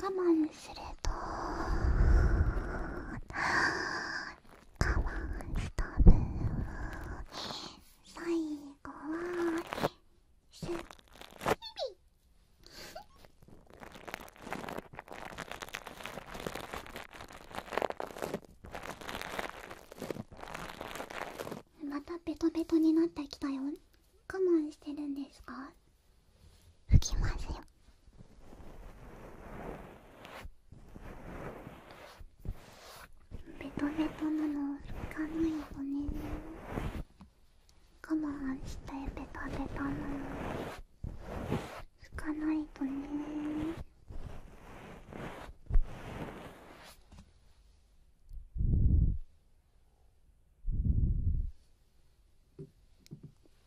我慢すると我慢した分最後はすっきりまたベトベトになってきたよ我慢してるんですか吹きますよベトベトなの吹かないとね我慢してベタベタなの吹かないとね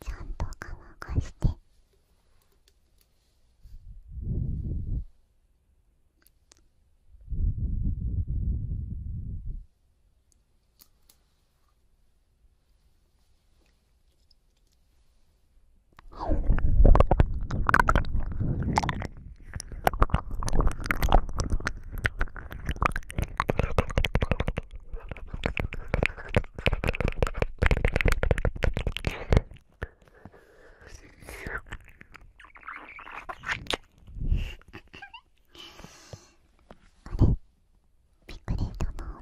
ちゃんと乾かしてびっくりしたな。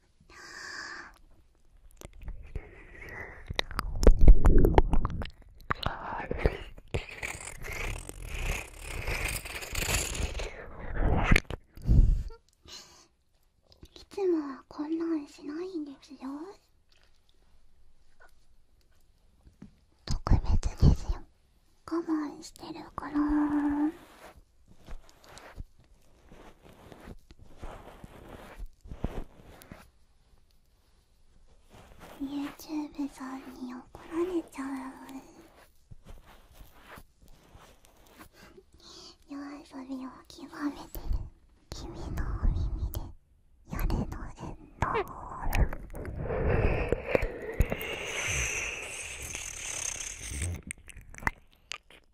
はぁ…いつもはこんなんしないんですよ特別ですよ我慢してるから YouTube さんに怒られちゃう夜遊びを極めてる君のお耳で夜のエンドボールふ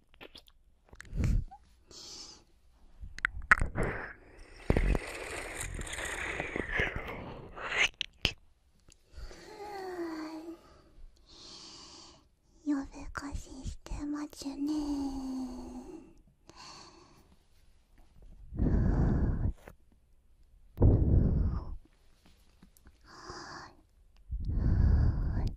夜更かししてまちゅねはいはい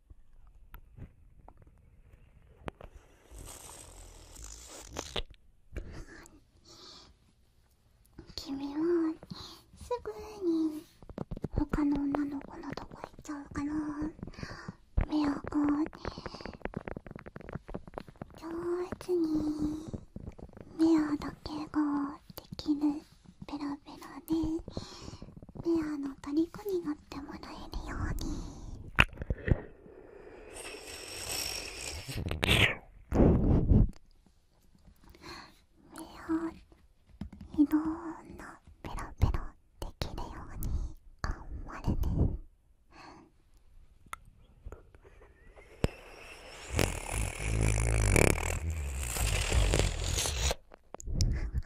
君はすぐに他の女の子のとこ行っちゃうから目をこう上手に目をだけができるベラベラでアの虜になってもらえるように。目をいろんなペロペロできるようにん張れね。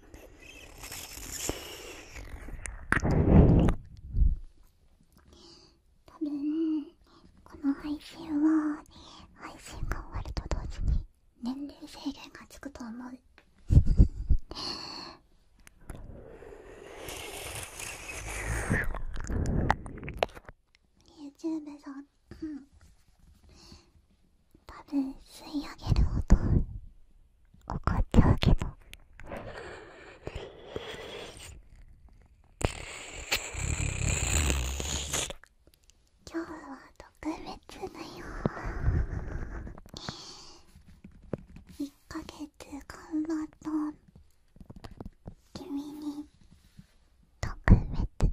たぶん、この配信は配信が終わると同時に年齢制限がつくと思う YouTube さん、うん、吸い上げる音怒っちゃうけど。今日は特別だよ1ヶ月頑張った君に特別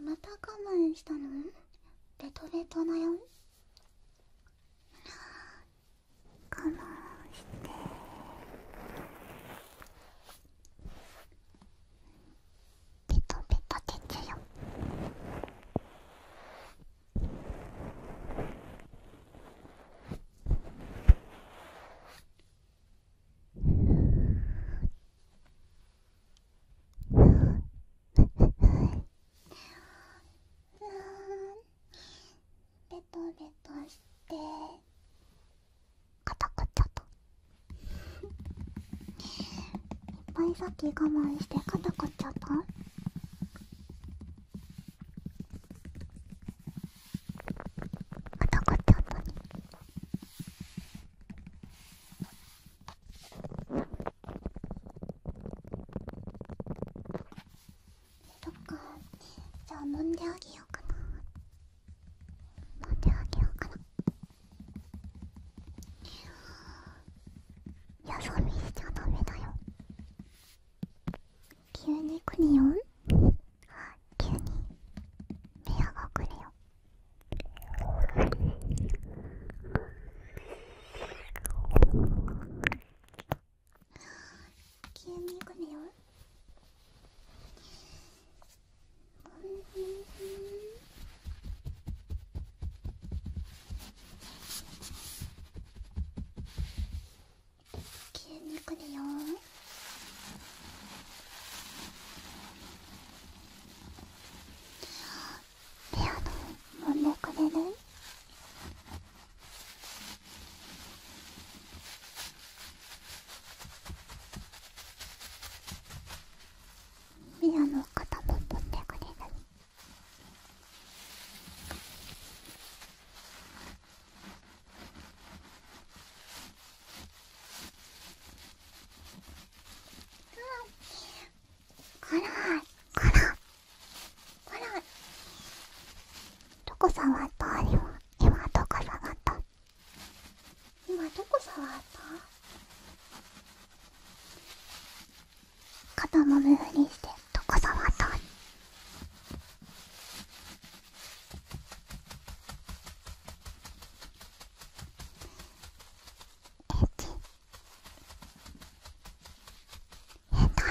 また我慢したのレトレトだよ我慢してペトペト鉄よベトベトして。くっちゃった。いっぱいさっき我慢してくっちカタカタくカタカタとにそっかじゃあ飲んであげようかな。…待んであげようかなよそ見しちゃダメだよ急によん。オン急に部屋が来るよ急に来るよ急に来るよピア揉んでくれるミラの肩も取ってくれる辛い辛い辛いどこ触ったあれは今どこ触った今どこ触った肩もむふりしてどこ触ったエッチ変態